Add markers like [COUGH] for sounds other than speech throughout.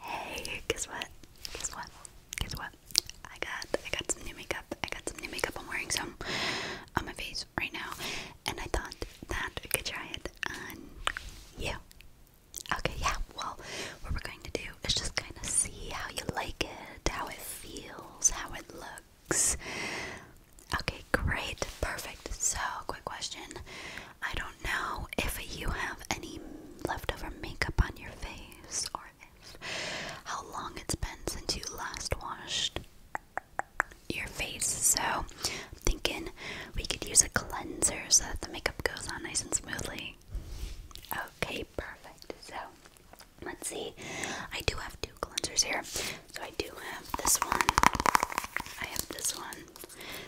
Hey, guess what? Guess what? Guess what? I got I got some new makeup. I got some new makeup. I'm wearing some on my face right now, and I thought that I could try it on you. Okay, yeah. Well, what we're going to do is just kind of see how you like it, how it feels, how it looks. Okay, great, perfect. So, quick question. I don't know if you have any leftover makeup on your face or if how long it's been since you last washed your face. So, thinking we could use a cleanser so that the makeup goes on nice and smoothly. Okay, perfect. So, let's see. I do have two cleansers here. So, I do have this one. I have this one.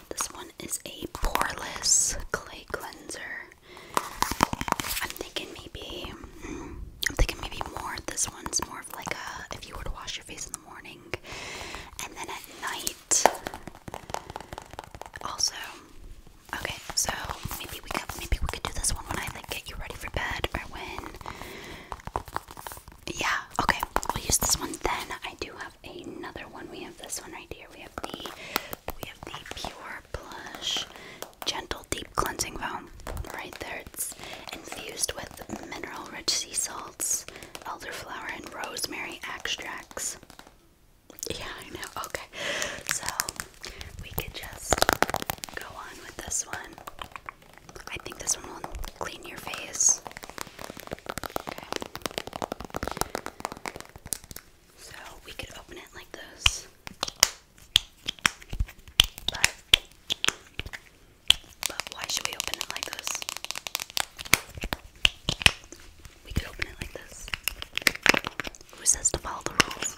This one is a poreless clay cleanser. I'm thinking maybe I'm thinking maybe more. This one's more of like a if you were to wash your face in the morning and then at night. Also, okay, so maybe we could maybe we could do this one when I like get you ready for bed or when. Yeah, okay. We'll use this one then. I do another one. We have this one right here. We have the we have the Pure Plush Gentle Deep Cleansing Foam. Right there, it's infused with mineral-rich sea salts, elderflower, and rosemary extracts. Yeah, I know. Okay, so we could just go on with this one. I think this one will clean your face. Okay. So we could open it like this. But, but why should we open it like this? We could open it like this. Who says to follow the rules?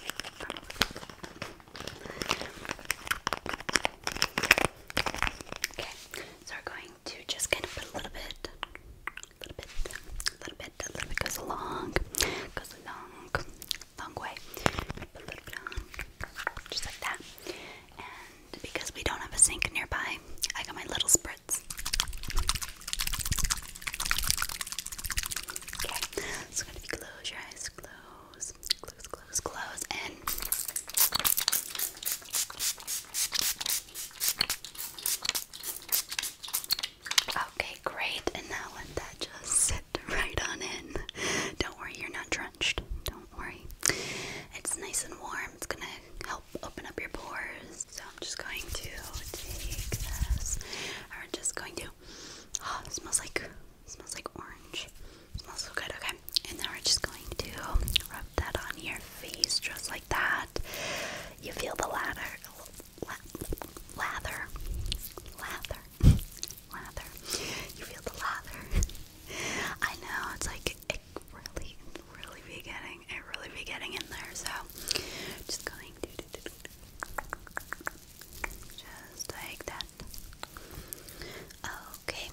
Okay, so we're going to just kind of put a little bit, a little bit, a little bit, a little bit goes along, goes a long, long way. just like that. And because we don't have a sink nearby, I got my little spritz. Okay, so if you close your eyes, close, close, close, close, and Okay, great. And now let that just sit right on in. Don't worry, you're not drenched. Don't worry. It's nice and warm. It's going to help open up your pores. So I'm just going to take this. We're just going to. Oh, smells like smells like orange. smells so good. Okay. Okay, and now we're just going to rub that on your face just like that. You feel the lather, la lather, lather, lather. You feel the lather. I know it's like it really, really be getting, it really be getting in there. So just going to, do, do, do. just like that. Okay,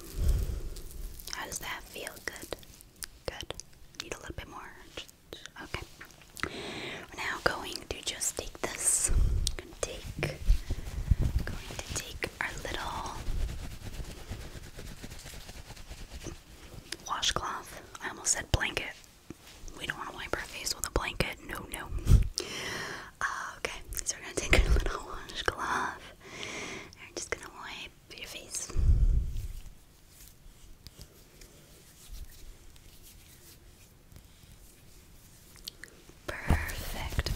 how does that feel? Good. Good. Need a little bit more. okay. now going to just take this. Going to take. Going to take our little washcloth. I almost said blanket. We don't want to wipe our face with a blanket. No, no. Uh, okay, so we're gonna take our [LAUGHS] little washcloth. we're just gonna wipe Perfect.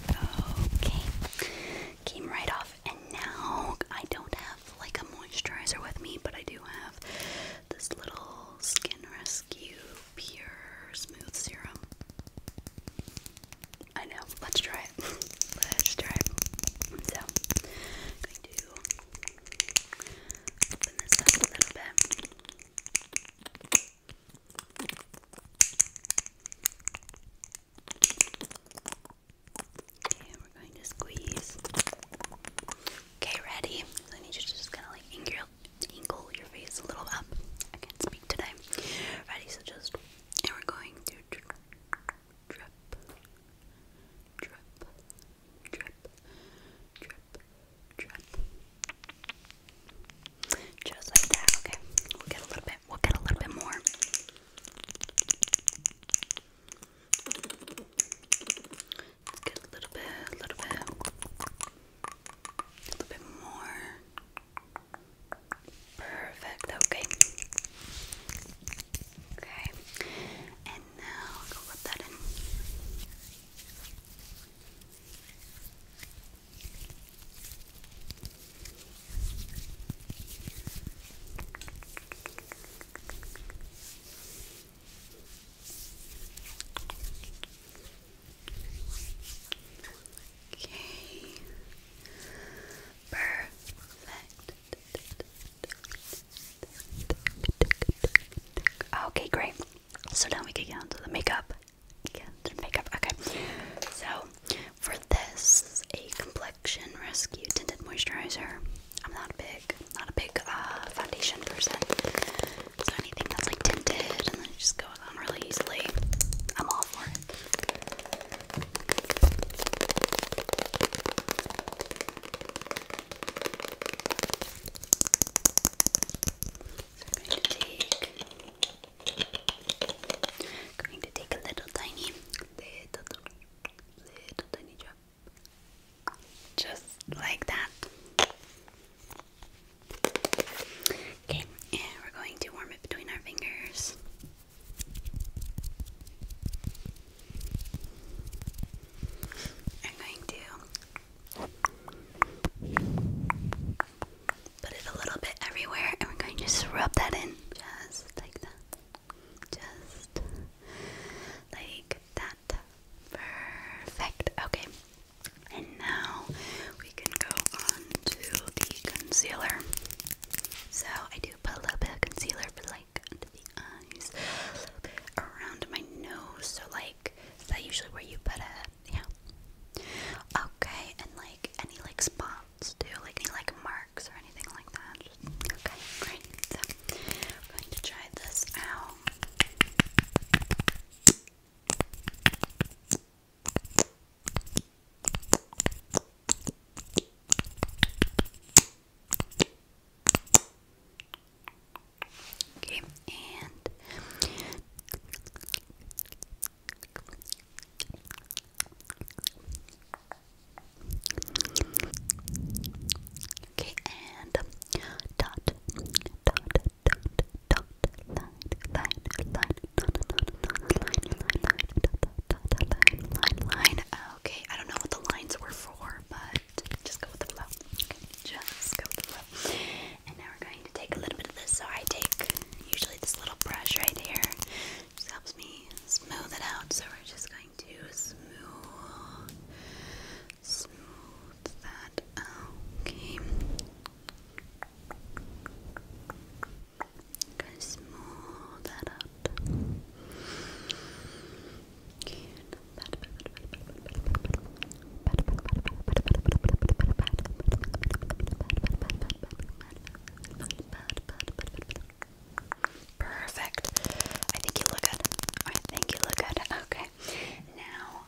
Okay. Came right off. And now I don't have like a moisturizer with me, but I do have this little Skin Rescue Pure Smooth Serum. I know. Let's try it. [LAUGHS] Let's try it. So, I'm going to open this up a little bit. Okay, we're going to squeeze. Okay, ready? I need you to just kind of like angle, angle your face a little up. I can't speak today. Ready? So just, and we're going to drip, drip, drip, drip, drip. Just like that, okay. We'll get a little bit, we'll get a little bit more. Let's get a little bit, a little bit, a little bit more. Perfect, okay. Okay, and now go put that in. Okay. Perfect. Okay, great. So now we can get onto the makeup. the makeup. Okay. So for this, a complexion rescue tinted moisturizer. I'm not big, not a big uh, foundation person. So anything that's like tinted and then just goes on really easily, I'm all for it. So I'm going to take going to take a little tiny little little tiny drop. Just like that. Okay, and we're going to warm it between our fingers. I'm going to put it a little bit everywhere and we're going to just rub that in. Just like that. Just like that. Perfect. Okay. And now we can go on to the concealer. So I do put a little bit of concealer for like under the eyes, around my nose. So like is that usually where you put it? Yeah. Okay, and like any like spots too, like any like marks or anything like that. okay, great. So I'm going to try this out. Okay, and Okay, and dot, dot, dot, dot, line, line, line, line, Okay, I don't know what the lines were for, but just go with the flow. just go with the flow. And now we're going to take a little bit of this. So I take usually this little brush right here. Just helps me smooth it out. So we're just going to smooth, smooth that out. Okay. Okay, smooth that out. Perfect. I think you look good. I think you look good. Okay. Now,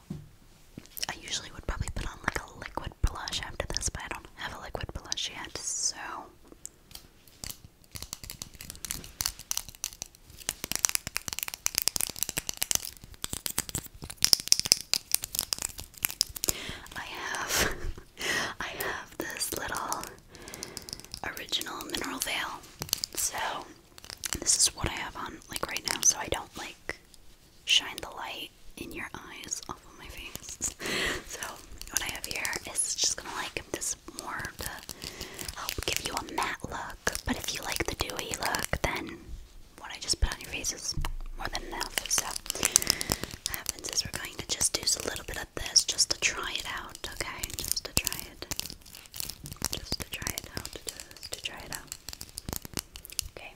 I usually would probably put on like a liquid blush after this, but I don't have a liquid blush yet, so I have [LAUGHS] I have this little original mineral veil. So this is what I have on like right now, so I don't like shine the light in your eyes off of my face. [LAUGHS] so what I have here is just gonna like this more to help give you a matte look. But if you like the dewy look, then what I just put on your face is more than enough. So happens is we're going to just use a little bit of this just to try it out, okay? Just to try it. Just to try it out. to try it out. Okay.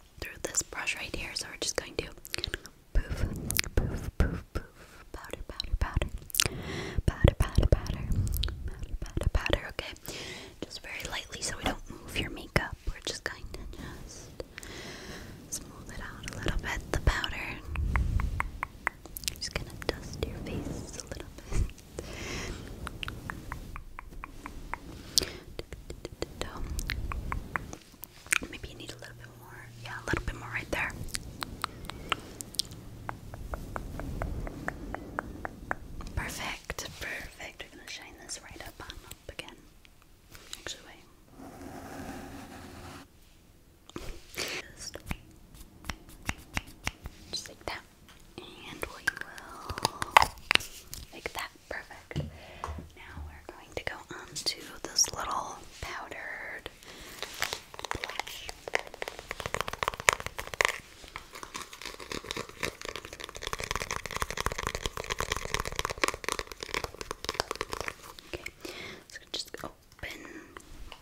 now through this brush right here. So we're just going to poof, poof, poof, poof, powder, powder, powder, powder, powder, powder, powder, powder, powder. Okay, just very lightly so we don't move your makeup. We're just going to just smooth it out a little bit. The powder. I'm just gonna dust your face a little bit. Maybe you need a little bit more. Yeah, a little bit more right there. Perfect, perfect. We're gonna shine this right up on up again. Actually, wait. just like that. And we will like that perfect. Now we're going to go on to this little powdered blush. Okay, so just open.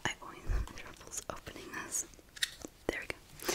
I always have troubles opening this. There we go.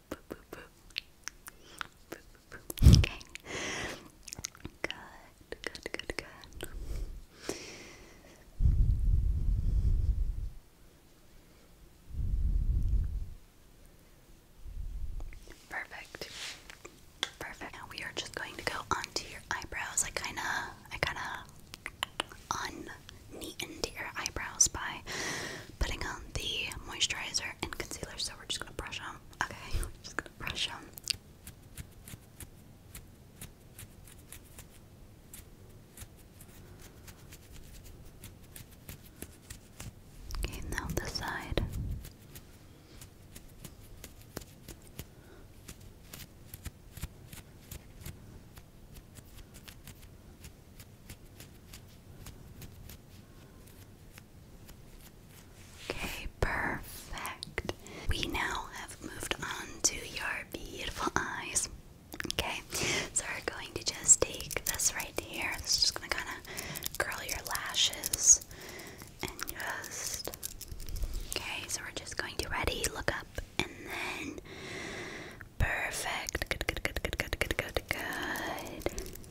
Okay. Good, good, good, good. Perfect. Perfect. Now we are just going to go onto your eyebrows. I kinda I kinda un your eyebrows by putting on the moisturizer and concealer. So we're just gonna brush them. Okay, [LAUGHS] just gonna brush them. Okay, now this side. Okay, perfect. We now have moved on to your beautiful eyes. Okay, so we're going to just take this right here. This is just going to kind of curl your lashes and just. Okay, so we're just going to ready, look up, and then. Perfect. Good, good, good, good, good, good, good, good.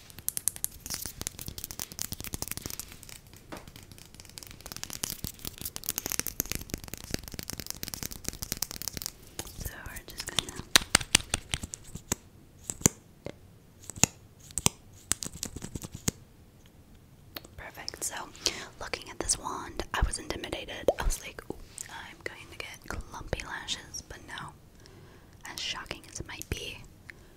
So we're just gonna Perfect. So, looking at this wand, I was intimidated. I was like, Ooh, I'm going to get clumpy lashes, but no. As shocking as it might be,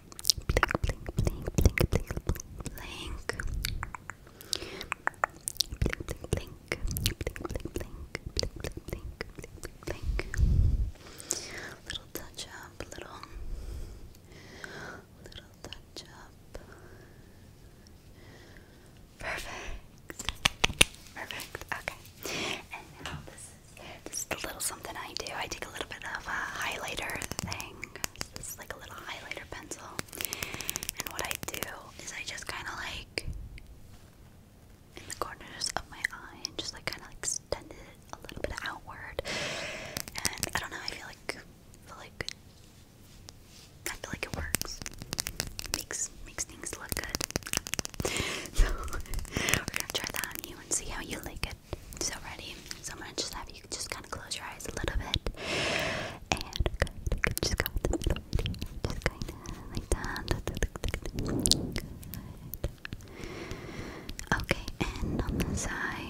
blink, blink, blink, blink, blink, blink, blink, Little touch up, little, little touch up. Perfect. Perfect. Okay. And now this is the little something I do. I take a little bit of a highlighter thing, this is like a little highlighter pencil. And what I do is I just kind of like in the corners of my eye just like kind of like extend it a little bit outward. And I don't know, I feel like I feel like I feel like it works. Makes makes things look good. [LAUGHS] so [LAUGHS] we're gonna try that on you and see how you like it. So ready. So I'm gonna just have you just kind of close your eyes a little bit, and good. Just go with Just kind of like that. Okay, and on this eye.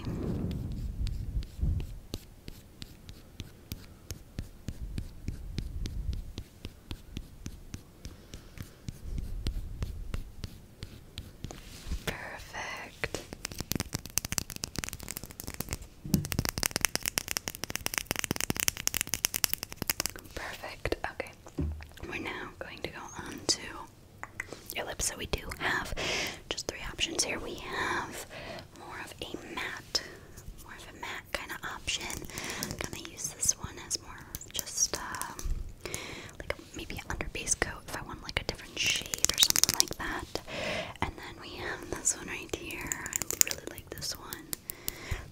Perfect. Perfect. Okay. We're now going to go on to your lips. So we do have just three options here. We have more of a matte, more of a matte kind of option. I'm use this one as more just um, maybe an under base coat if I want like a different shade or something like that. And then we have this one right here. I really like this one.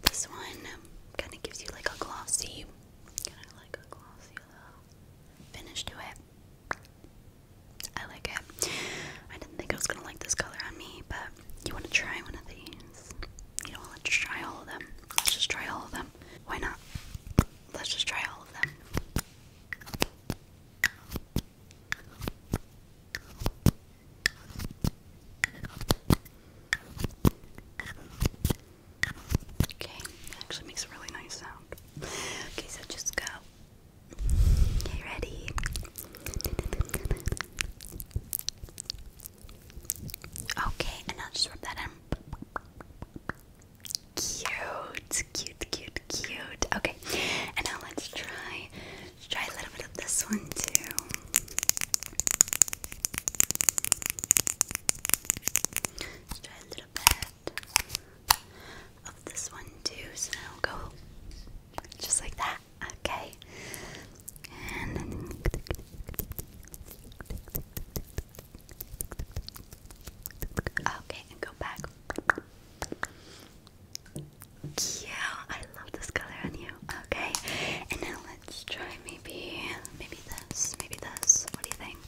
This one kind of gives you like a glossy, kind of like a glossy finish to it. I like it. I didn't think I was gonna like this color on me, but you want to try one of these? You know, let's try all of them. Let's just try all of them. Why not? Let's just try all of them. Okay, actually makes a really nice sound. Okay, so just go. Okay, ready? Okay, and now just rub that in. Cute, cute, cute, cute. Okay, and now let's try let's try a little bit of this one too. try a little bit of this one too. So now go just like that. Okay. Okay, go back. Yeah, I love this color on you. Okay, and now let's try maybe, maybe this, maybe this. What do you think?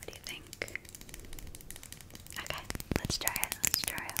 What do you think? Okay, let's try it. Let's try it.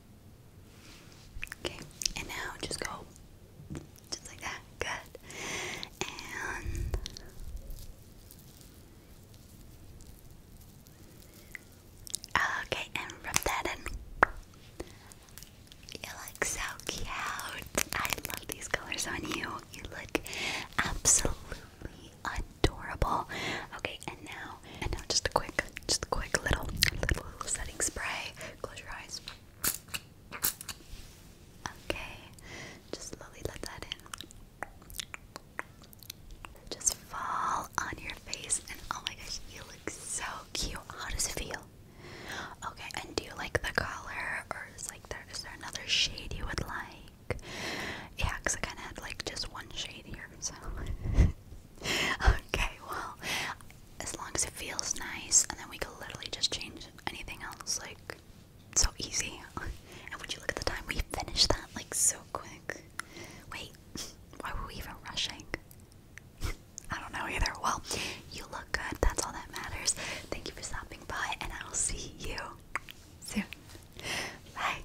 Okay, and now just go just like that. Good. And okay, and rub that in. You look so cute. I love these colors on you. You look absolutely adorable. Okay, and now and now just a quick just a quick little little setting spray. Close your eyes. Okay, just slowly let that in. Just fall on your face, and oh my gosh, you look so cute. How does it feel? Okay, and do you like the color, or is like there is there another shade you would like? Yeah, I kind of had like just one shade here, so. [LAUGHS] okay, well, as long as it feels nice, and then we can literally just change anything else. Like, so easy. [LAUGHS] and would you look at the time? We finished that like so quick. Wait, [LAUGHS] why were we even rushing? [LAUGHS] I don't know either. Well, you look good. That's all that matters. Thank you for stopping by, and I'll see you soon. Bye.